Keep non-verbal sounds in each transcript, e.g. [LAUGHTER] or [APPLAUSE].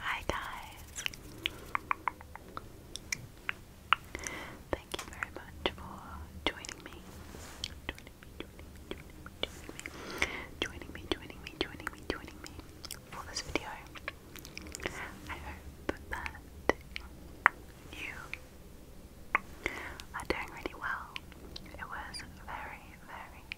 Hi guys! Thank you very much for joining me. Joining me, joining me, joining me, joining me, joining me, for this video. I hope that you are doing really well. It was very, very,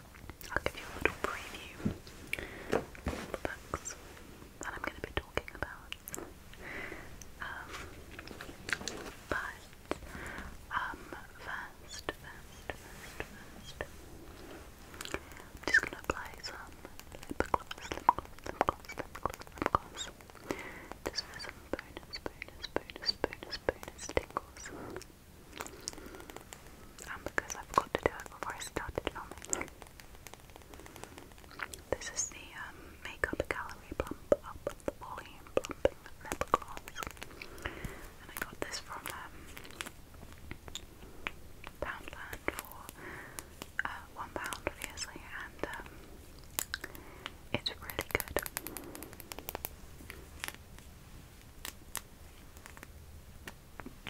I'll give you a little preview of the books that I'm going to be talking about. Um, um first, first, first, just going to apply some um, because I forgot to do it before I started filming. This is the um, Makeup Gallery Plump Up Volume Plumping Lip and I got this from um, Poundland for uh, one pound, obviously, and it's really good. So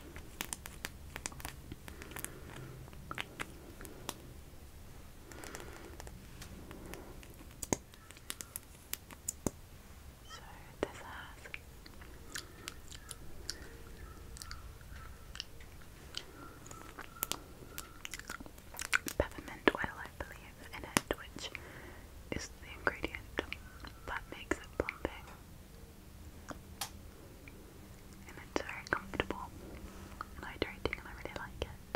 this peppermint oil, I believe, in it, which is the ingredient that makes it plumping and it's very comfortable hydrating, and I really like it.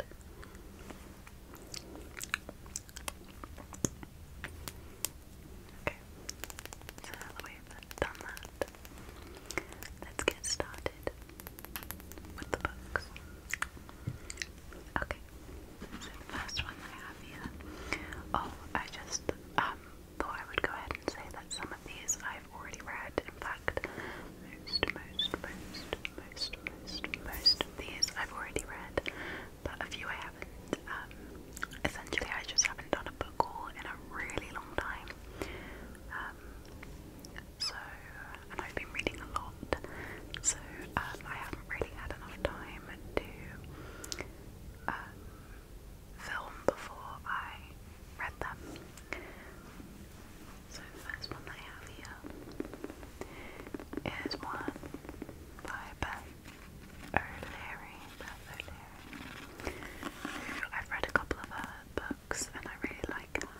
Okay, so we've done that, let's get started with the books. Okay, so the first one I have here. Oh, I just um thought I would go ahead and say that some of these I've already read. In fact, most, most, most, most, most, most of these I've already read, but a few I haven't. Um, essentially, I just haven't done a book haul in a really long time. Um, so, and I've been reading a lot, so um, I haven't really had enough time to um, film before I read them. So the first one I have here is one by Beth O'Leary. Beth O'Leary. I've read a couple of her books and I really like her.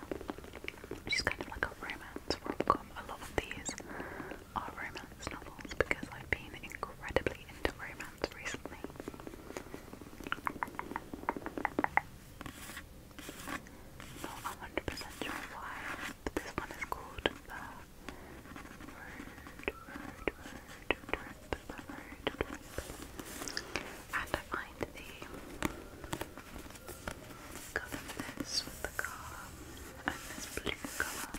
She's kind of like a romance rom-com. A lot of these are romance novels because I've been incredibly into romance hands recently. Not 100% sure why, but this one is called And I find the colour of this with the car and this blue colour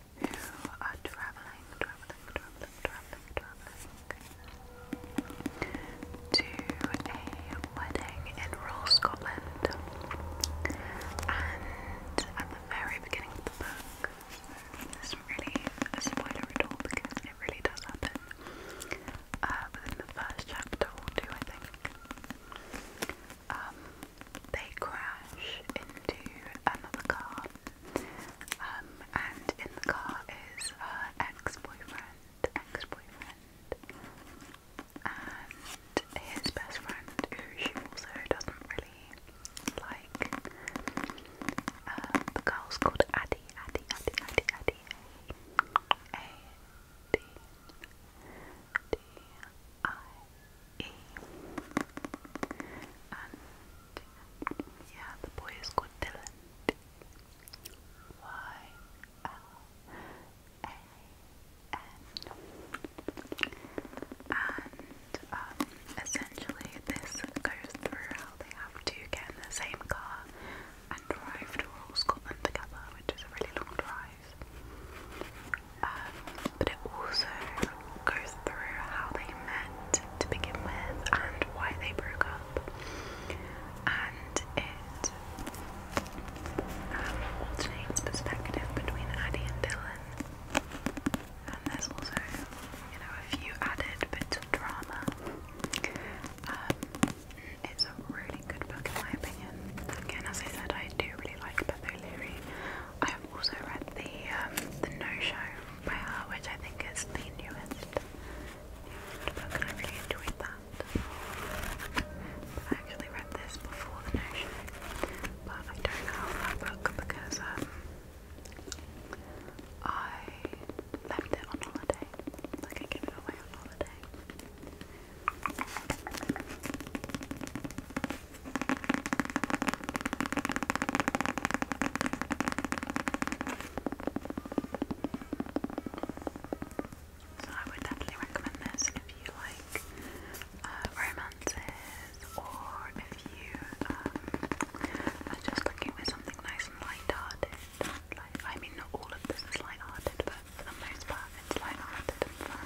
who are travelling, travelling, travelling, travelling, travelling to a wedding in rural Scotland. And at the very beginning of the book, this is really a spoiler at all because it really does happen. Uh, within the first chapter or two, I think, um, they crash into another car um, and in the car is her ex-boyfriend, ex-boyfriend, and his best friend, who she also doesn't really like. Uh, the girl's called Addie, Addie, Addie, Addie, Addie, A D D I E, and yeah, the boy is called Dylan. Y L A N. And um, essentially, this goes through how they have to get in the same car and drive to all Scotland together, which is a really long drive. Um, but it also goes through how they met to begin with and why they broke up. And it um, alternates perspective between Addie and Dylan. And there's also, you know, a few added bits of drama. Um, it's a really good book in my opinion. Again, as I said, I do really like Beth I've also read the um, the No Show by her, which I think is the newest, book, I really enjoyed that. I actually read this before the No Show, but I don't have that book because um, I left it on holiday. Like I gave it away on holiday. So I would definitely recommend this if you like uh, romances or if you um, are just looking for something nice and light I mean, not all of this is light but for the most part, it's light and fun.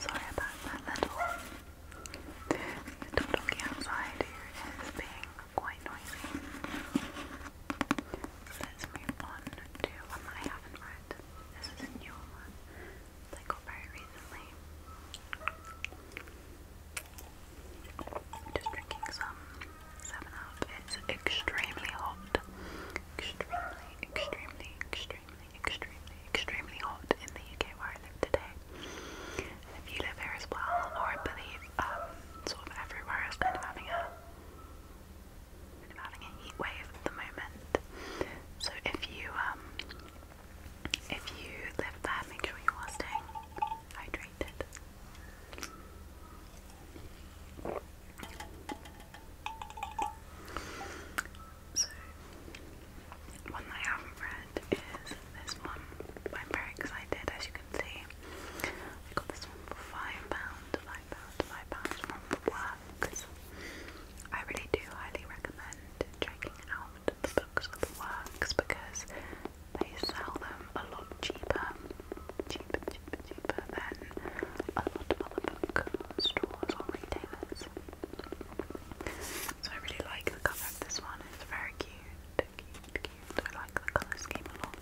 Sorry about that little. The talking outside here is being quite noisy. Let's move on that I haven't read. This is a new one that I very recently. just drinking some 7 Up. It's extremely hot. Extremely, extremely, extremely extremely, extremely, hot in the UK where I live today. if you live here as well, or I believe um, sort of everywhere is kind of having a kind of having a heat at the moment. So if you um, if you live there, make sure you are staying hydrated. So, one I haven't read is this one. I'm very excited, as you can see. I got this for five pounds, five pounds, five pounds from Works. I really do highly recommend checking out the books of Works because they sell them a lot cheaper, cheaper, cheaper, cheaper than a lot of other bookstores or retailers. So I really like the cover of this one, it's very cute, cute, cute. I like the colour scheme a lot.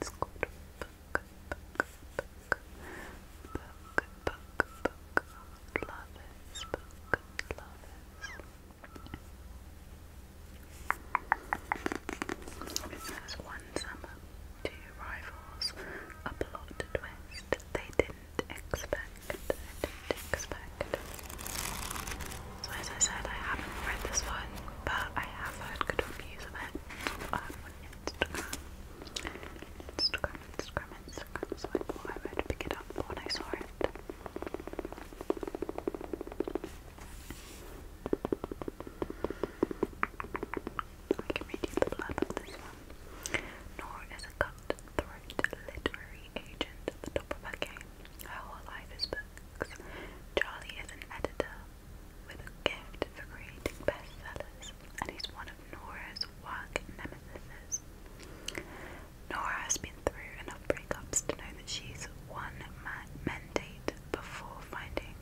It's called Book, Book, Book, Book, Book, Book, Lovers, Book, Lovers. It says, why one two rivals, a plot twist they didn't expect. So as I said, I haven't read this one, but I have heard good reviews of it Instagram. Instagram, Instagram, So I thought I would pick it up when I saw it. I is a cutthroat literary agent at the top of her game. Her whole life is books. Charlie is an editor with a gift for creating bestsellers, and he's one of Nora's work nemesis. Nora has been through enough breakups to know that she's one man mandate before finding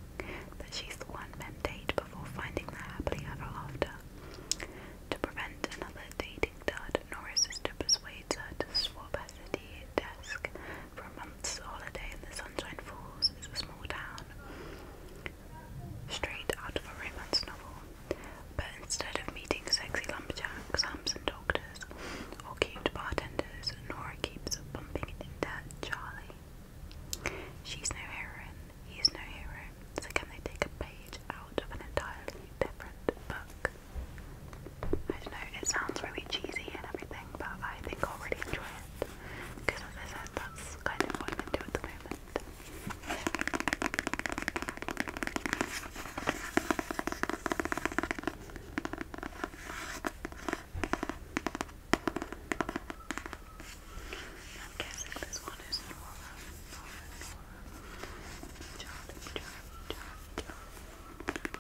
that she's the one men date before finding the happily ever after. To prevent another dating dud, Nora's sister persuades her to swap her city desk for a month's holiday in the Sunshine Falls is a small town. Straight out of a romance novel. But instead of meeting sexy lumberjacks, hams doctors, or cute bartenders, Nora keeps bumping into Charlie, She's no hero. he's no hero, so can they take a page out of an entirely different book? I don't know, it sounds really cheesy and everything, but I think I'll really enjoy it. Because as I said, that's kind of what I'm into at the moment. I'm guessing this one is Nora, Nora, Nora, Charlie, Charlie, Charlie, Charlie. Charlie.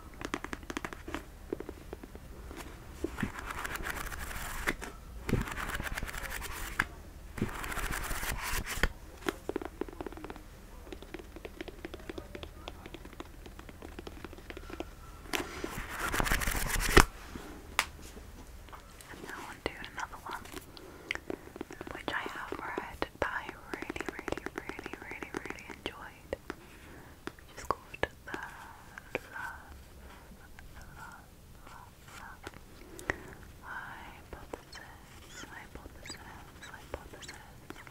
And now I'll do another one, which I have read that I really, really, really, really, really enjoyed. Which called The Love, Love, Love, Hypothesis, Hypothesis, Hypothesis.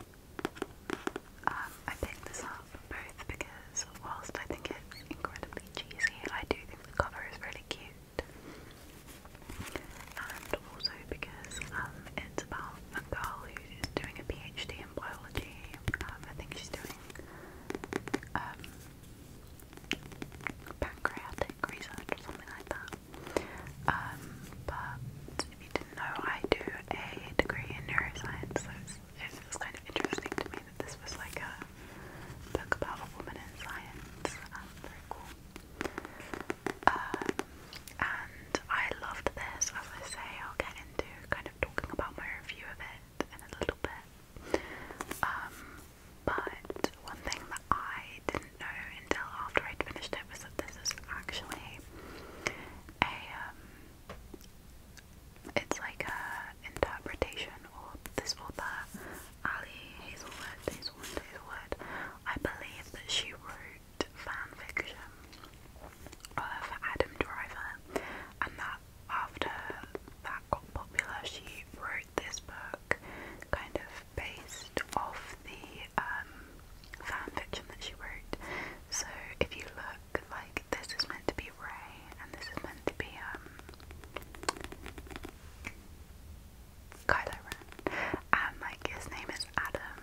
I picked this up both because whilst I think it's incredibly cheesy, I do think the cover is really cute. And also because um, it's about a girl who's doing a PhD in biology. Um, I think she's doing um, pancreatic research or something like that. Um, but if you didn't know, I do a degree in neuroscience, it was kind of interesting to me that this was like a book about a woman in science. Um, very cool. Um, and I loved this. As I say, I'll get into kind of talking about my review of it in a little bit. Um, but one thing that I didn't know until after I'd finished it was that this is actually a it's like a interpretation of this author, Ali Hazelwood, Hazelwood, Hazelwood. I believe that she wrote fan fiction of Adam Driver, and that after that got popular, she wrote this book kind of based off the um, fan fiction that she wrote. So if you look look, like this is meant to be Ray and this is meant to be um Kylo And like his name is Adam,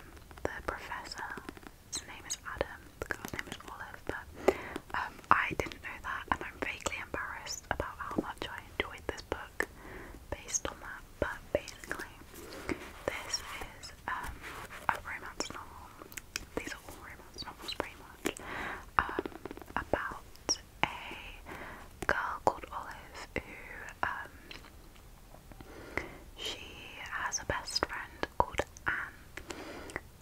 the professor. His name is Adam, the girl's name is Olive, but um, I didn't know that and I'm vaguely embarrassed about how much I enjoyed this book based on that. But basically this is um, a romance novel these are all rumours, not pretty much, um, about a girl called Olive who, um, she has a best friend called Anne,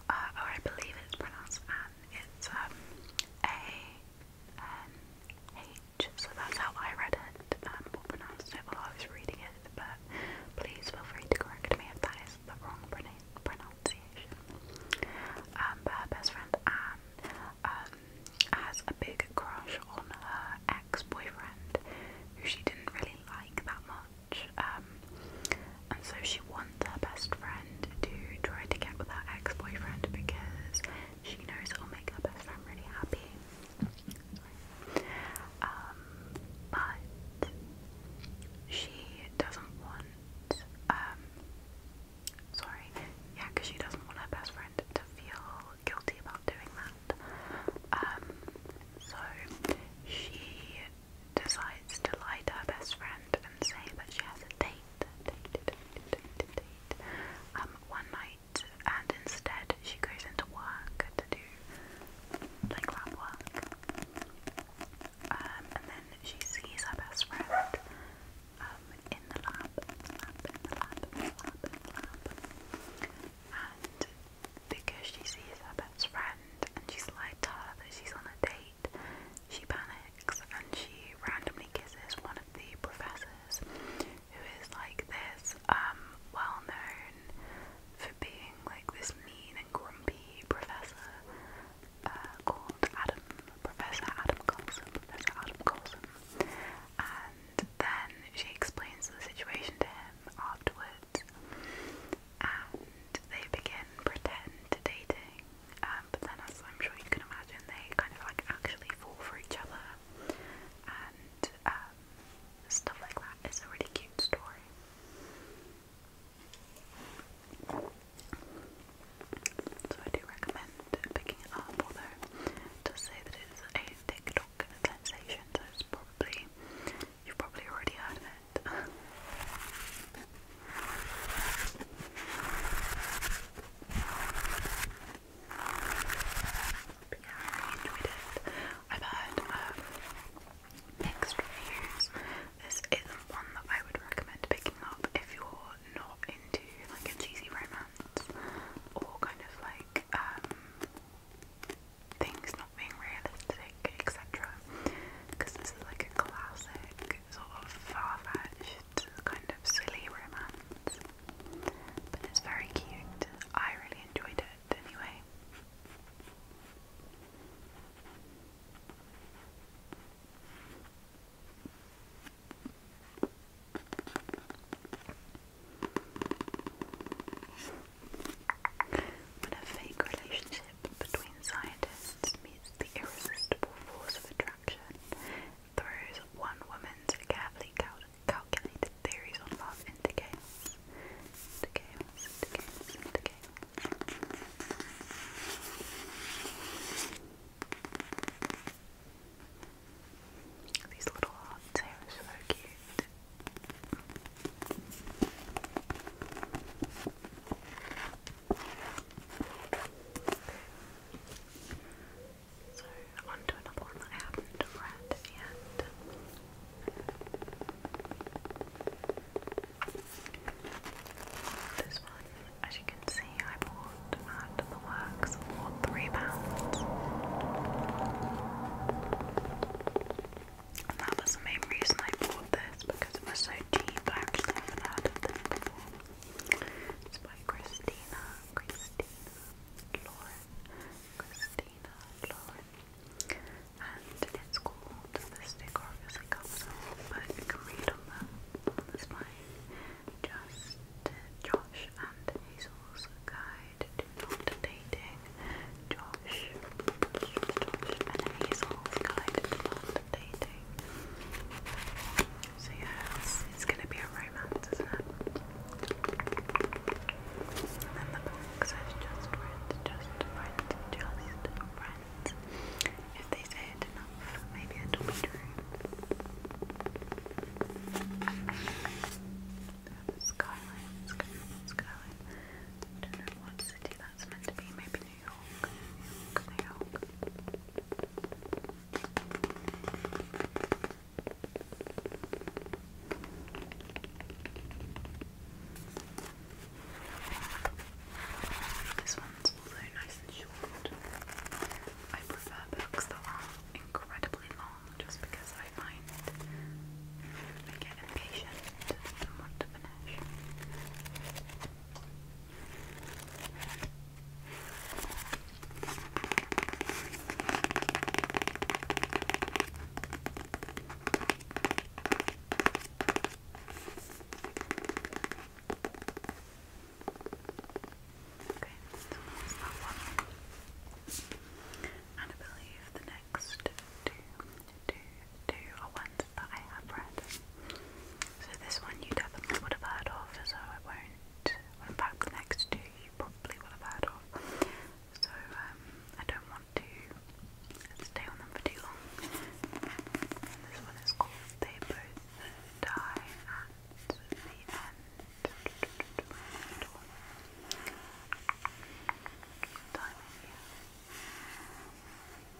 uh, or I believe it's pronounced Anne, it's, um, A-N-H, so that's how I read it, um, or pronounced it while I was reading it, but please feel free to correct me if that that's the wrong pronunciation. Um, but her best friend Anne um, has a big crush on her ex-boyfriend, who she didn't really like that much. Um, and so she wants her best friend to try to get with her ex-boyfriend because she knows it'll make her best friend really happy. but she doesn't want um sorry, yeah, because she doesn't want her best friend to feel guilty about doing that. Um so she decides to lie to her best friend and say that she has a date, date, um, one night, and instead she goes into work to do like lab work. Um, and then she sees her best friend um, in the lab, lab, in the lab, lab, in the lab. And because she sees her best friend and she's lied to her that she's on a date, she panics and she randomly kisses one of the professors who is like this um, well known for being like this mean and grumpy professor uh, called Adam, Professor Adam Coulson, Professor Adam Coulson, and then she explains the situation to him afterwards, and they begin pretend dating, um, but then as I'm sure you can imagine, they kind of like actually fall for each other, and um, stuff like that. It's a really cute story. So I do recommend picking it up, although it does say that it is a TikTok sensation, so it's probably you've probably already heard of it. [LAUGHS] but yeah, I enjoyed it. I've heard um, Next reviews. This isn't one that I would recommend picking up if you're not into like a cheesy romance or kind of like um, things not being realistic, etc. Because this is like a classic sort of far kind of silly romance. But it's very cute. I really enjoyed it anyway. When a fake relationship between scientists meets the irresistible force of attraction, throws one woman's carefully calculated theories on love into chaos. Okay. These little hearts here cute. So on another one that I haven't read yet. This one, as you can see, I bought at the works for three pounds. And that was the main reason I bought this because it was so cheap. I actually haven't heard of this before. It's by Christina, Christina, Lauren, Christina, Lauren and it's called the stick off it comes off, but you can read on the, on the spine just Josh and Hazel's guide to not dating. Josh, Josh and Hazel's guide to not dating. So yeah, it's, it's gonna be a romance, isn't it? And then the box says just friends, just friends, just friends. If they say it enough, maybe it'll be true. Skyline, skyline, skyline. I don't know city that's meant to be. Maybe New York, New York. This one's also nice and short. I prefer books that are incredibly long just because I find I get impatient and want to finish. Okay, And I believe the next two, two, two are ones that I have read. So this one you would have heard of, so I won't. in fact, the next two you probably will have heard of. So um, I don't want to stay on them for too long. And this one is called They Both Die at the End. Timing, yeah. It says, This is Mateo, this is Rufus.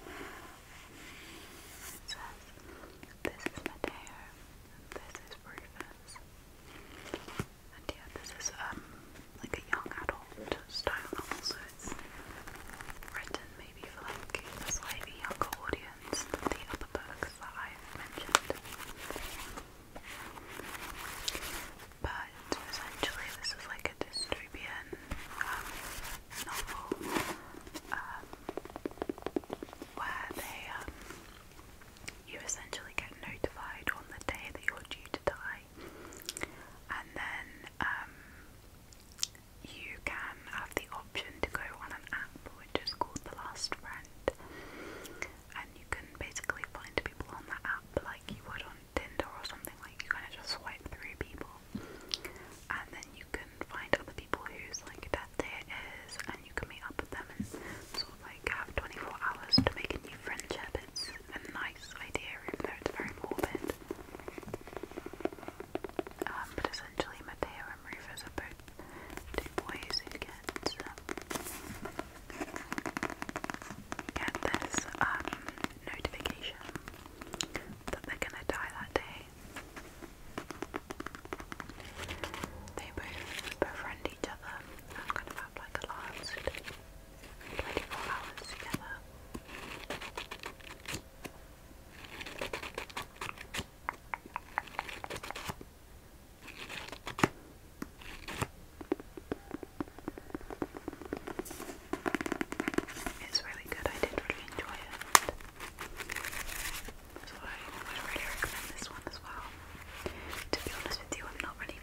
And yeah, this is um like a young adult style novel, so it's written maybe for like slightly younger audience the other books that I've mentioned. But essentially, this is like a dystopian um, novel um, where they um, you essentially get notified on the day that you're due to die, and then you can have the option to go on an app which is called The Last Friend, and you can basically find people on that app like you would on Tinder or something, like you kind of just swipe through people, and then you can find other people who's like death day it is, and you can meet up with them and sort of like have 24 hours to make a new friendship. It's a nice idea, even though it's very morbid. Um, but essentially, Mateo and Rufus are both two boys who get um, get this um, notification that they're gonna die that day. They both befriend each other and kind of have like a last 24 hours together. It's really good, I did really enjoy it. So I would really recommend this one as well. To be honest with you, I'm not really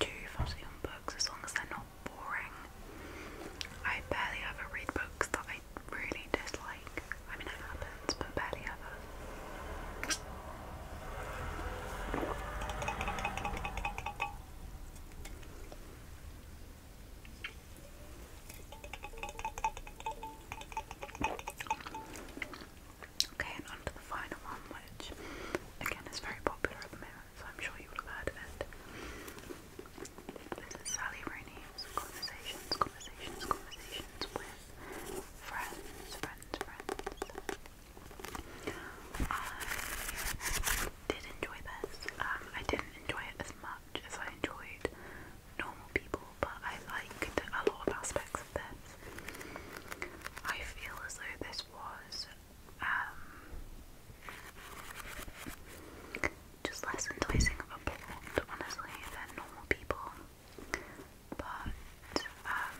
too fussy on books as long as they're not boring. I barely ever read books that I really dislike. I mean, it happens, but barely ever. Okay, and on the final one, which again is very popular at the moment so I'm sure you will have heard of This is Sally Rooney's Conversations, Conversations, Conversations with Friends, Friends, Friends. I did enjoy this. Um, I didn't enjoy it as much as I enjoyed normal people, but I liked a lot of aspects of this. I feel as though this was um, just less enticing of a plot, honestly, than normal people. But um,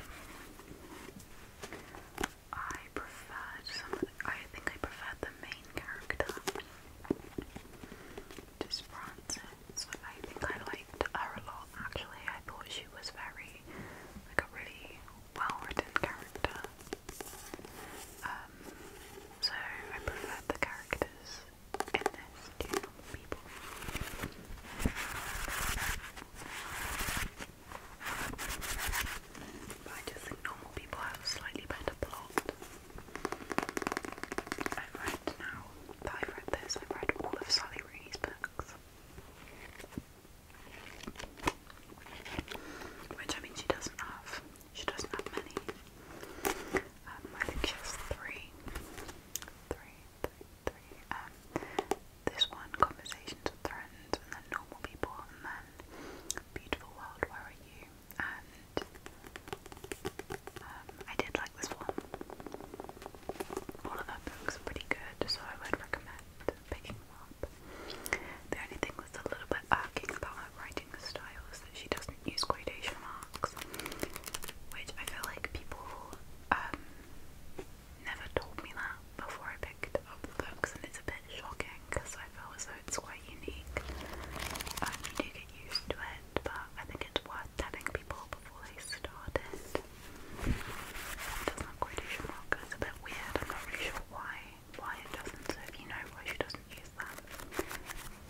I preferred I think I preferred the main character, just Frances. I think I liked her a lot. Actually, I thought she was very like a really well-written character. Um, so I prefer the characters in this normal people. I just think normal people have a slightly better plot. I've read now that I've read this, I've read all of Sally Rooney's books. Which I mean she doesn't have she doesn't have many. Um, I think she has three, three. Um, this one, Conversations with Friends, and then Normal People, and then Beautiful World, Where Are You? And um, I did like this one. All of her books pretty good, so I would recommend picking them up. The only thing that's a little bit irking about her writing style is that she doesn't use quotation marks, which I feel like people um, never told me that before I picked up the books, and it's a bit shocking because I feel as though it's quite unique. Um, do get used to it, but I think it's worth telling people before they start it. not quotation marks, it's a bit weird, I'm not really sure why. Why it doesn't, so if you know why she doesn't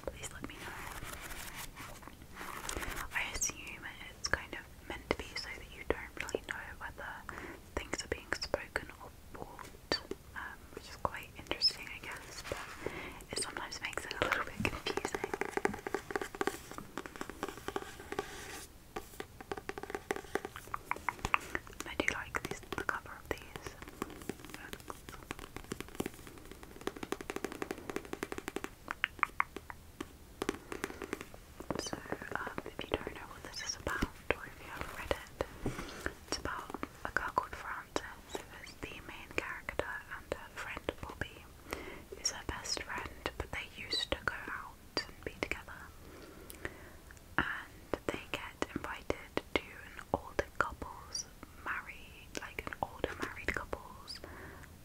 please let me know. I assume it's kind of meant to be so that you don't really know whether things are being spoken or bought, um, which is quite interesting, I guess, but it sometimes makes it a little bit confusing. And I do like this, cover of these. So, um, if you don't know what this is about, or if you haven't read it, it's about a girl called Frances, who is the main character, and her friend Bobby, who's her best friend, but they used to go out and be together and they get invited to an older couple's married, like older married couple's.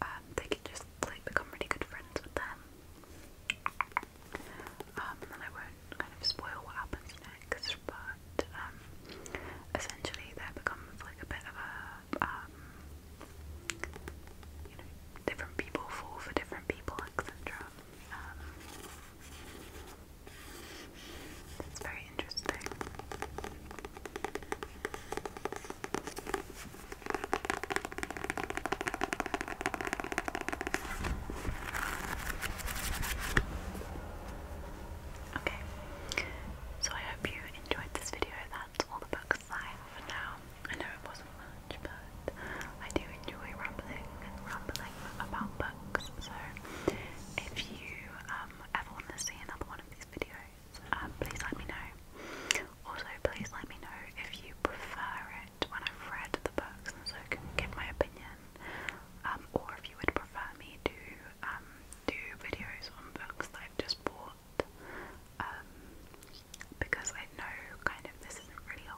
Um, they can just like become really good friends with them. Um, and I won't kind of spoil what happens next, but um, essentially there becomes like a bit of a, um, you know, different people for different people, etc. Um, that's very interesting. Okay, so I hope you enjoyed this video. That's all the books I have now. I know it wasn't much, but I do enjoy rambling, rambling about books box. So if you um, ever want to see another one of these videos, um, please let me know. Also, please let me know if you prefer it when i read the books so I can give my opinion, um, or if you would prefer me to do videos on books that I've just bought. because I know kind of this isn't really a